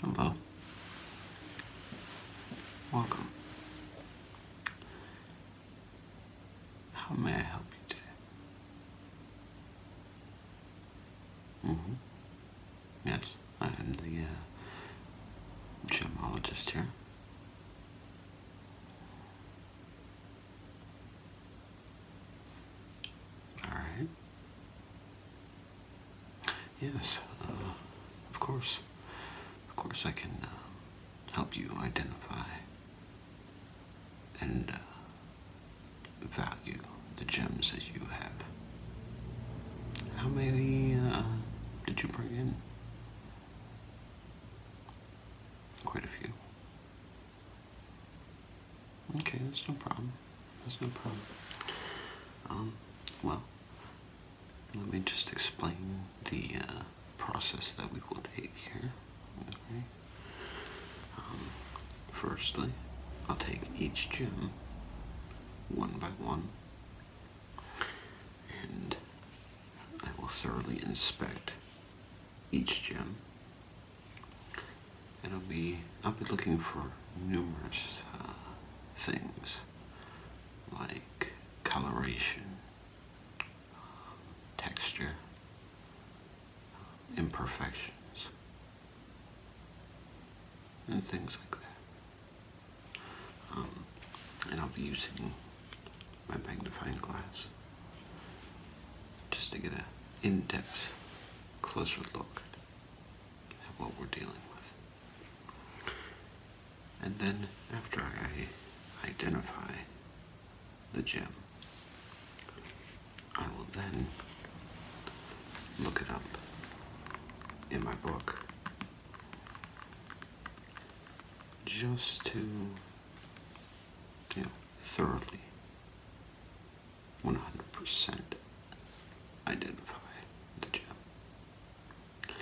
Hello. Welcome. How may I help you today? Mm-hmm. Yes, I am the uh, gemologist here. All right. Yes, uh, of course. Of course, I can uh, help you identify and uh, value the gems that you have. How many did you bring in? Quite a few. Okay, that's no problem. That's no problem. Um, well, let me just explain the uh, process that we will take here. Okay. Um, firstly, I'll take each gem one by one, and I will thoroughly inspect each gem it'll be, I'll be looking for numerous uh, things like coloration, um, texture, um, imperfections, and things like that. Um, and I'll be using my magnifying glass just to get an in-depth closer look what we're dealing with. And then after I identify the gem, I will then look it up in my book just to you thoroughly 100% identify the gem.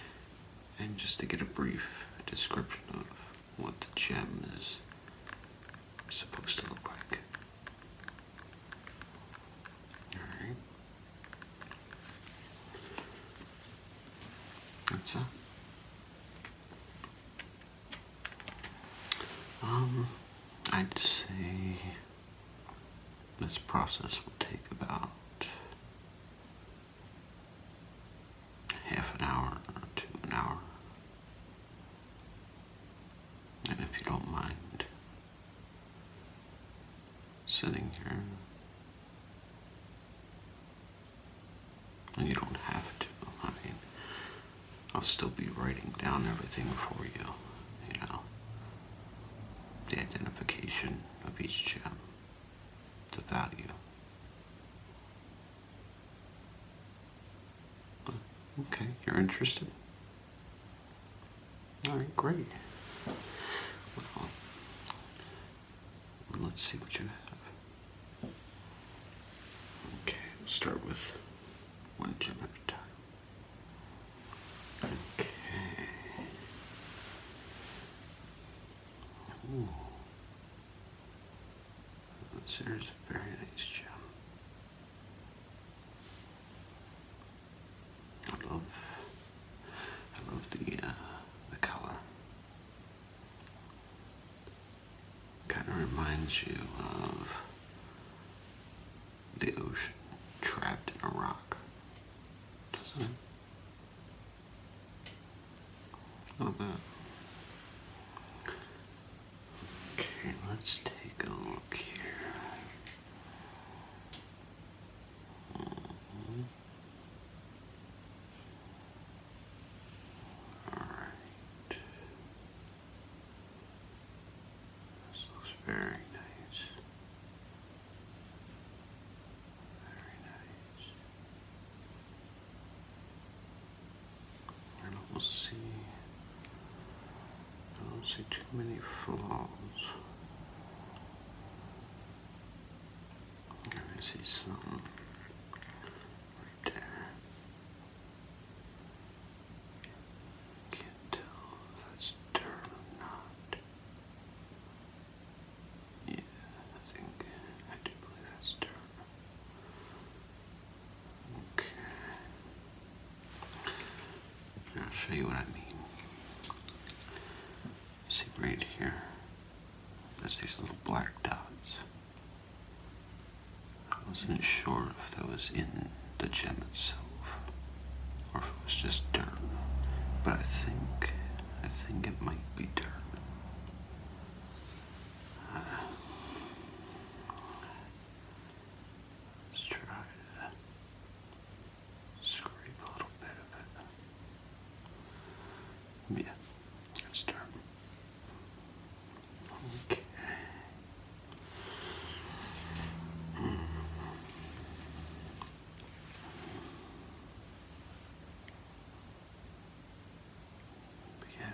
And just to get a brief description of what the gem is supposed to look like. Alright. That's it. Um, I'd say this process will take about half an hour to an hour. And if you don't mind sitting here, and you don't have to, I mean, I'll still be writing down everything for you, you know the identification of each gem, the value. Oh, okay, you're interested? Alright, great. let's see what you have. Okay, start with one gem at a time. Okay. Ooh. That's, a very nice gem. I love, I love the uh, the color. Kind of reminds you of the ocean trapped in a rock, doesn't it? Look at that. Okay, let's take a look here. Mm-hmm. All right. This looks very nice. Very nice. I don't see I don't see too many flaws. I see something right there. Can't tell that's dirt yeah, I think I do believe that's dirt. Okay. I'll show you what I mean. See right here. There's these little black dots. I wasn't sure if that was in the gem itself, or if it was just dirt. But I think, I think it might be dirt. Uh, let's try to scrape a little bit of it. Yeah, that's dirt. Okay yeah,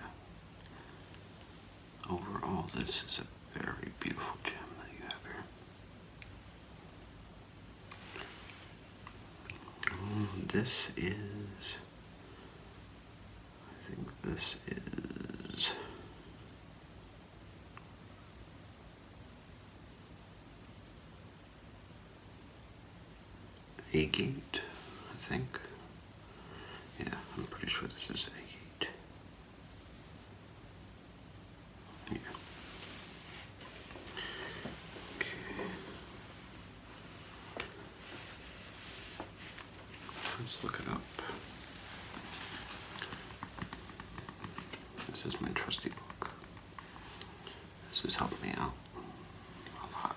overall, this is a very beautiful gem that you have here. Mm, this is. I think this is a I think. Yeah, I'm pretty sure this is a Yeah. Okay. Let's look it up. This is my trusty book. This has helped me out a lot.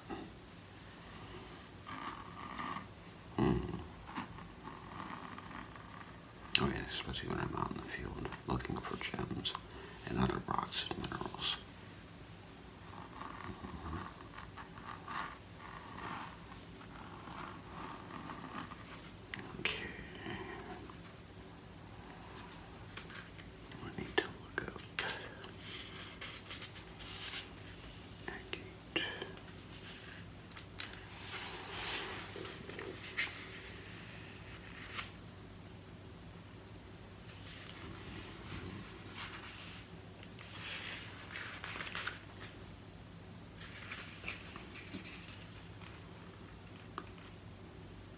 Hmm. Oh yeah, especially when I'm out in the field looking for gems and other rocks and minerals. Hmm. Okay. We need to look up Agate.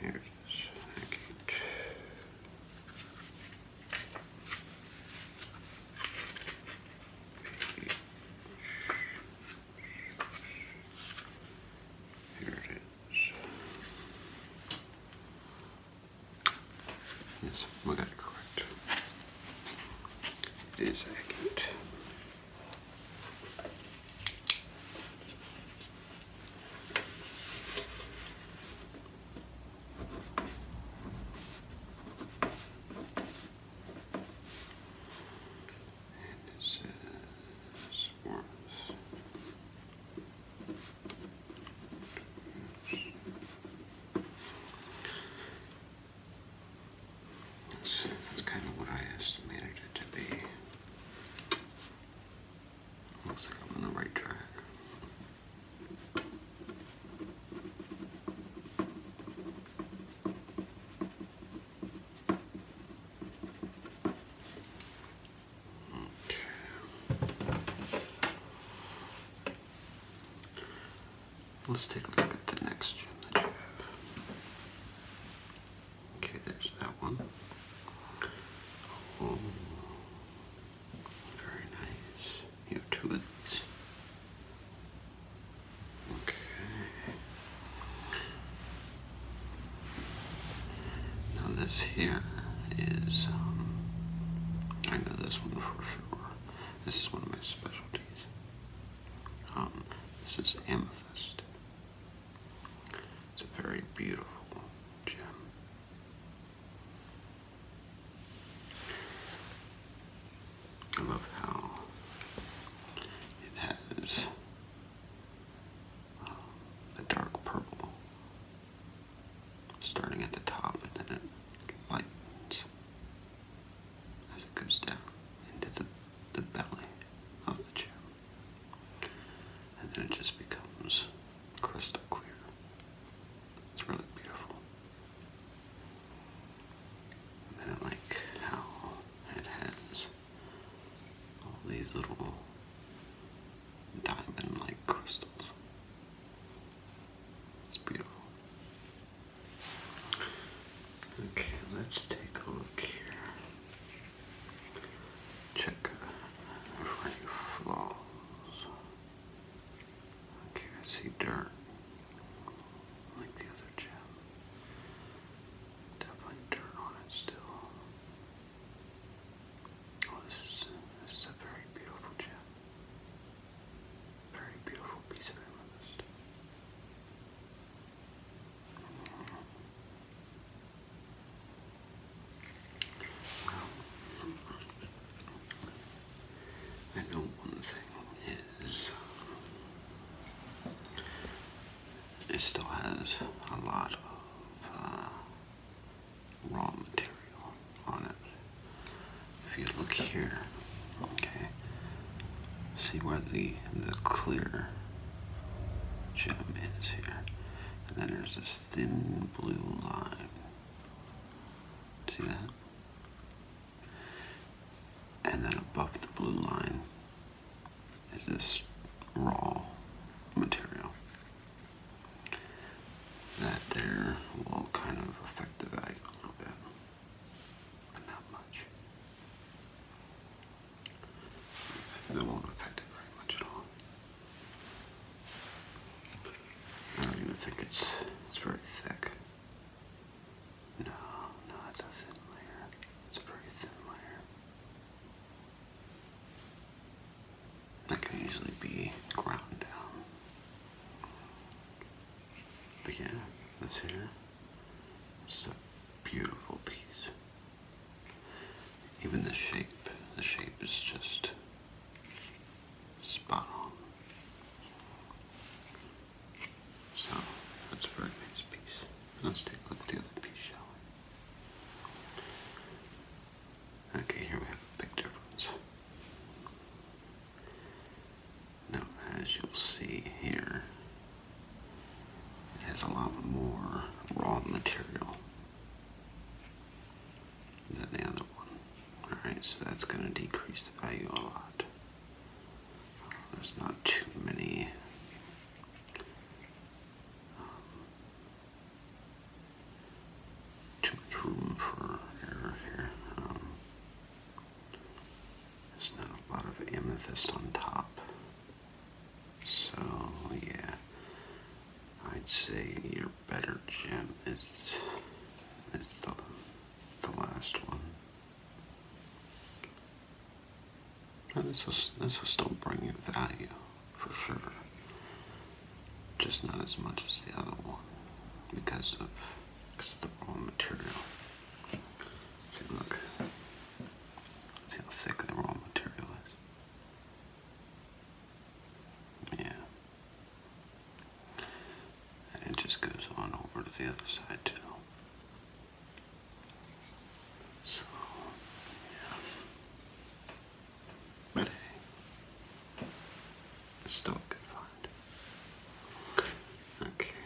Here it is. Yes, we got it correct. It is accurate. And it says that's kind of what I estimated it to be. Looks like I'm on the right track. Okay. Let's take a look at the next gem that you have. Okay, there's that one very nice. You have Okay. Now this here is, um, I know this one for sure. This is one of my specialties. Um, this is amethyst. It's a very beautiful gem. I love how it has um, the dark purple starting at the top and then it lightens as it goes down into the, the belly of the chip and then it just becomes crystal clear. It's really beautiful. And then like how it has all these little diamond-like crystals. It's beautiful. Okay, let's take a look here check for any flaws. Okay, I see dirt. Like the other gem. Definitely dirt on it still. Oh, this is, a very beautiful gem. Very beautiful piece of amethyst. I know one thing is it still has a lot of uh, raw material on it. If you look here, okay, see where the the clear gem is here, and then there's this thin blue line. See that? And then above the blue line is this raw material that there will kind of affect the value a little bit, but not much. That won't affect it very much at all. I don't even think it's it's very thick. No, no, it's a thin layer. It's a pretty thin layer. That can easily be ground down. But yeah, this here is a beautiful piece. Even the shape, the shape is just Spot on. So that's Bergman's piece. Let's take a look at the other piece, shall we? Okay, here we have a big difference. Now, as you'll see here, it has a lot more raw material than the other one. Alright, so that's going to decrease the value a lot. There's not too many. Um, too much room for error here. Um, there's not a lot of amethyst on top. So, yeah. I'd say your better gem is is the the last one. Now this was this was still bringing value for sure, just not as much as the other one because of because of the raw material. look, see how thick the raw material is. Yeah. And it just goes on over to the other side too. So, But still a good find. Okay,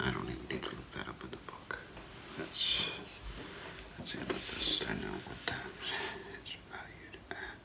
I don't even need to look that up in the book. That's, that's the this. I know what that is valued at.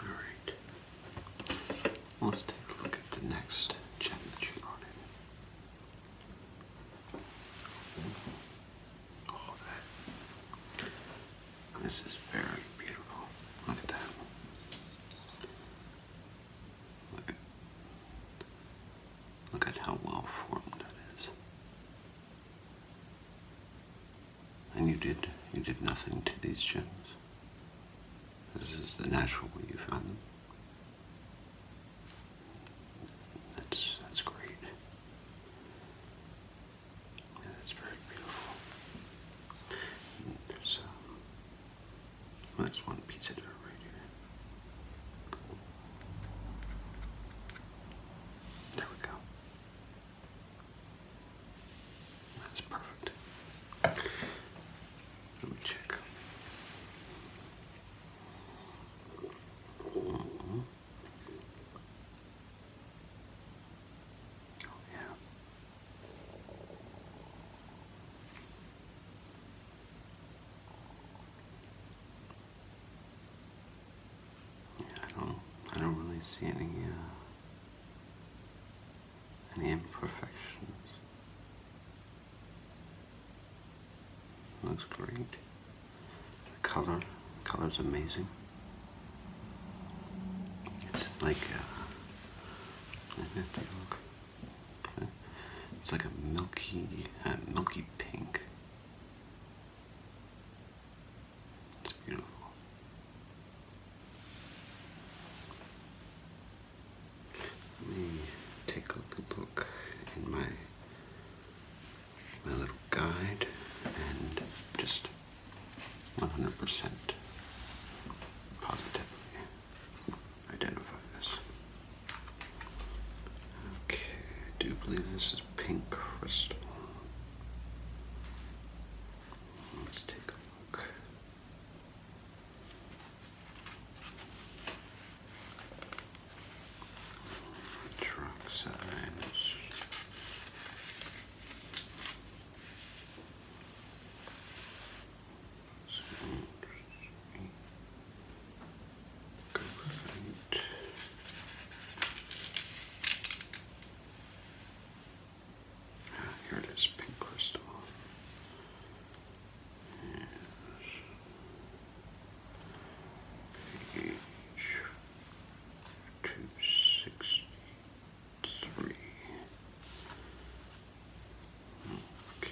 Alright, let's take a look at the next check All oh, that. This is very beautiful. Look at that. look at how well formed that is. And you did. You did nothing to these gems. This is the natural way you found them. That's that's great. that's very beautiful. there's um, there's one piece of dirt right here. There we go. That's perfect. Let me check. Oh, yeah. I don't. I don't really see any uh, any imperfections. Looks great. The color, the color's amazing. It's like uh, a. It's like a milky, uh, milky pink. It's beautiful. Let me take a look in my my little guide and just 100% positively identify this. Okay, I do believe this is pink crystal. Let's take a look. Truck signs. Graphite. Here it is, pink crystal. Page two sixty-three. Okay.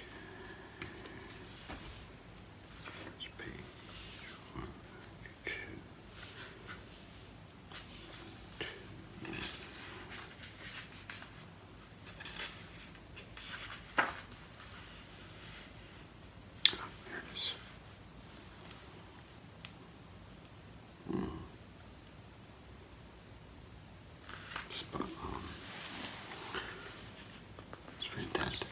page one, there it is. Mm. Spot on. It's fantastic.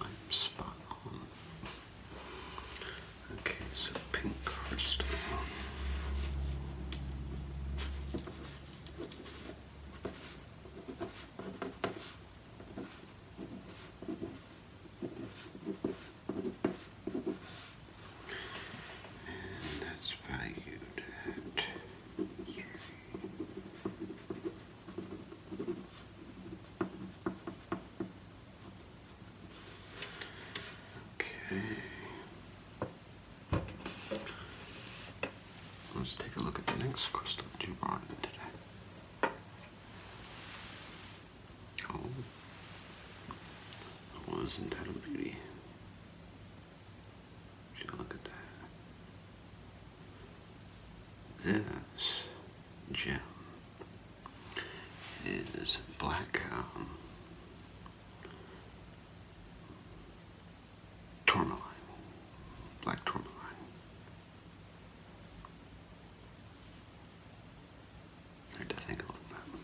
I'm spot on. Okay, so pink crystal. And that's valued at three. Okay. Let's take a look at the next crystal you brought in today. Oh, wasn't oh, that a beauty? look at that? This gem is black um, tourmaline, black tourmaline. Hard to think a little bit.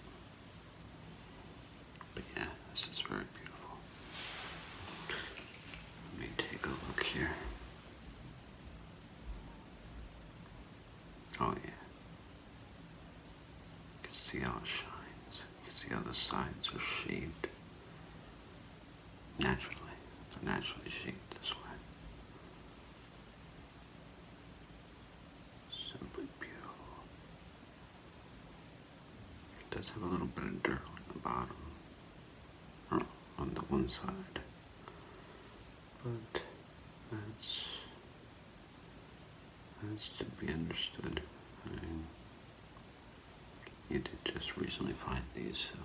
But yeah, this is very beautiful. Let me take a look here. Oh yeah. You can see how it shines. You can see how the sides are shaped naturally. they naturally shaped this way. Simply beautiful. It does have a little bit of dirt on the bottom, on the one side, but that's that's to be understood. you did just recently find these, so.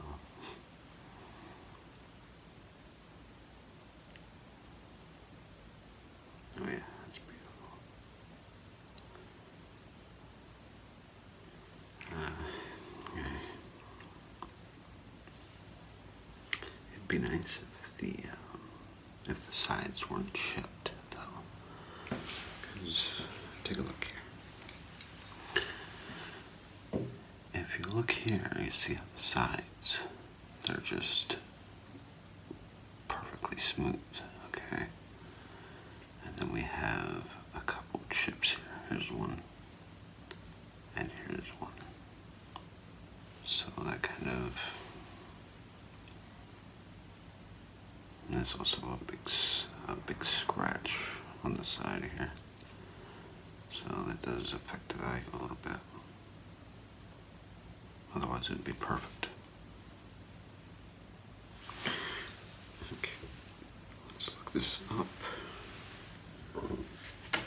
Oh yeah, that's beautiful. Uh, okay. It'd be nice if the um, if the sides weren't chipped, though. Cause take a look here. If you look here, you see on the sides they're just perfectly smooth. Okay, and then we have a couple chips here. Here's one, and here's one. So that kind of. There's also a big, a big scratch on the side here. So that does affect the value a little bit. Otherwise it would be perfect. Okay, let's look this up.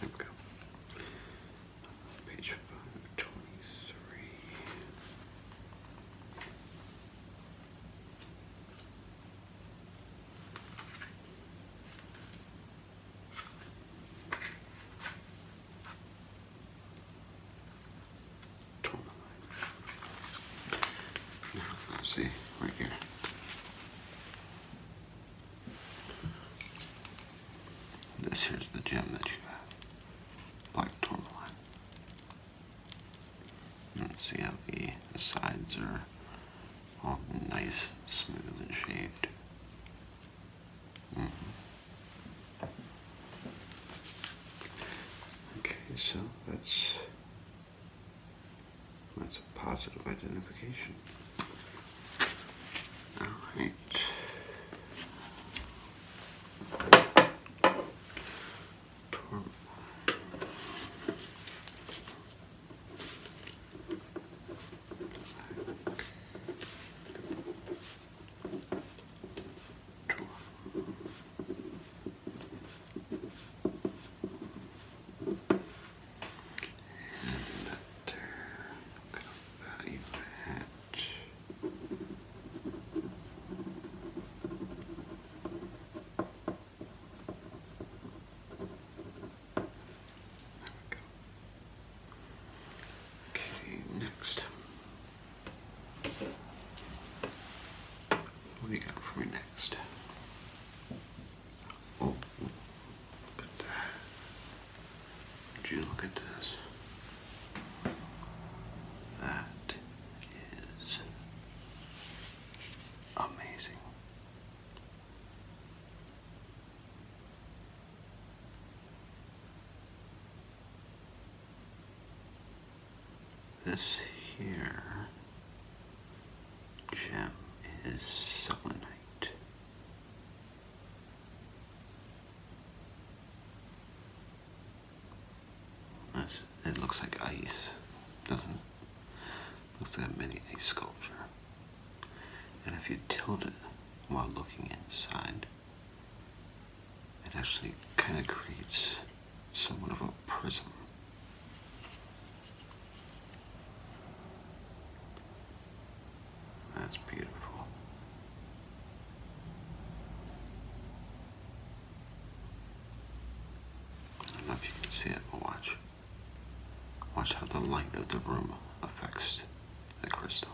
There we go. Page 523. Tourmaline. let's see, right here. This here's the gem that you have. Black tourmaline. see how the, sides are all nice, smooth, and shaped. Mm-hmm. Okay, so that's that's a positive identification. Alright. And that turn, could value There we go. Okay, next. What do you got for me next? look at that. Would you look at this? That is amazing. This here gem is selenite it looks like ice, doesn't it? Looks like a mini ice sculpture. And if you tilt it while looking inside, it actually kind of creates somewhat of a prism. That's beautiful. I don't know if you can see it, but watch. Watch how the light of the room affects the crystal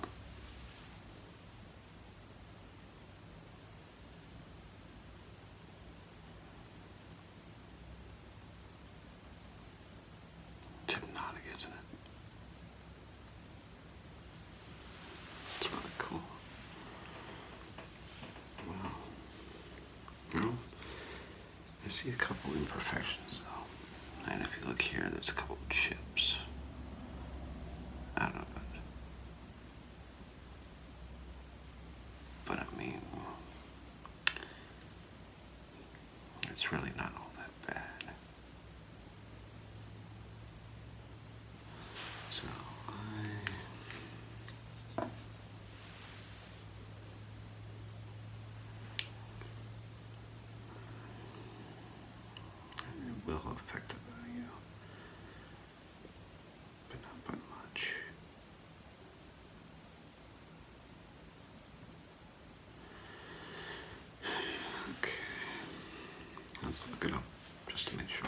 hypnotic, isn't it? It's really cool. Wow. Well, I see a couple imperfections though. And if you look here, there's a couple chips out of it. But I mean, it's really not all that bad. So it will affect the value, but not by much let's look it up just to make sure.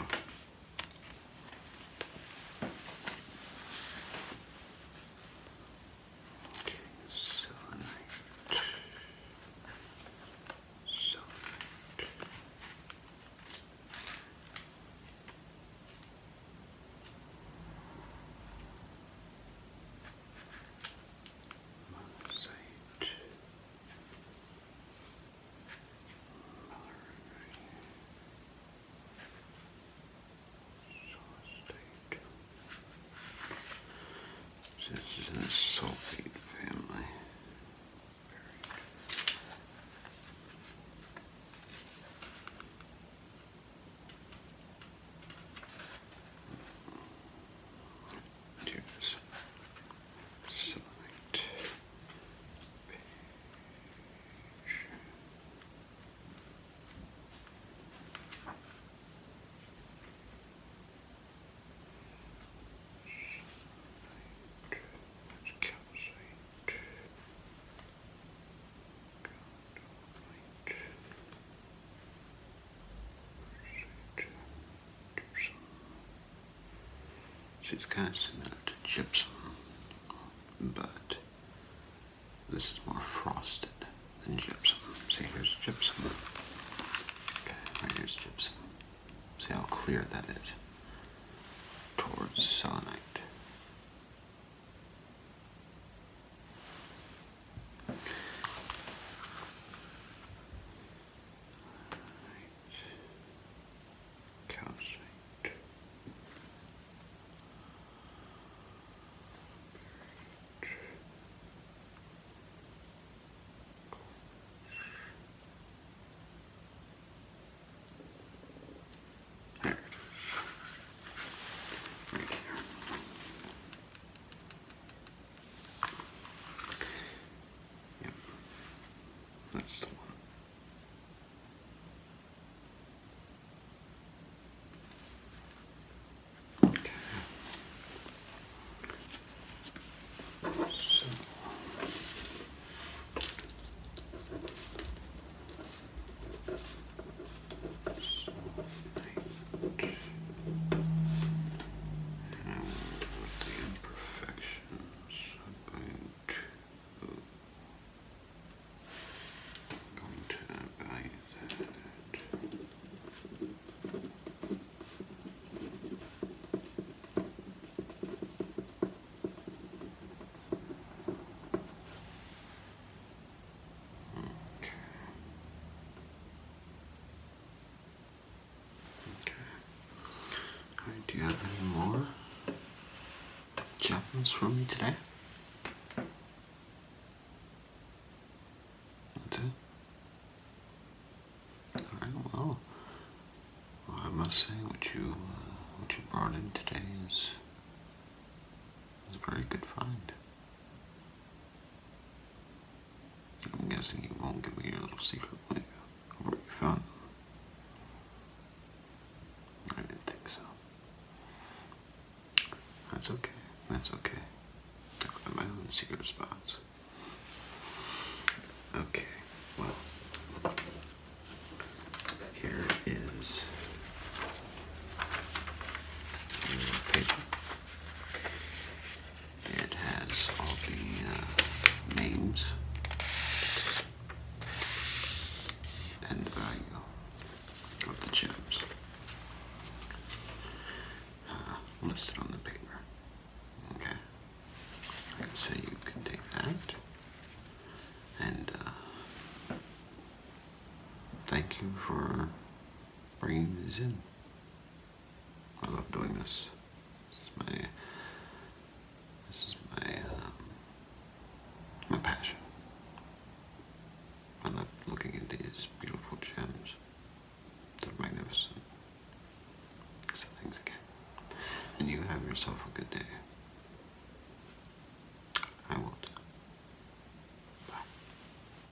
Okay, selenite minus 8, another This is in the family do this. Select page. Calcite. Calcite it's kind of similar to gypsum, but this is more frosted than gypsum. See, here's gypsum. Okay, here's gypsum. See how clear that is towards selenite. Right. Calcite. There it is. Right here. That's the one. Okay. Right. Now, the imperfections, I'm going to, I'm going to value that. Okay. do you have any more gems for me today? That's All right. Well, I must say, what you uh, what you brought in today is is a very good find. I'm guessing you won't give me your little secret, will Where you found them? I didn't think so. That's okay. That's okay. my own secret spots. Okay, well, here is it has all the uh, names and the value of the gems uh, listed on the paper. Okay. so you can take that and uh, thank you for bringing this in. I love doing this. This is my, this is my, um, my passion. I love looking at these beautiful gems. They're magnificent. So thanks again. And you have yourself a good day. I will Bye.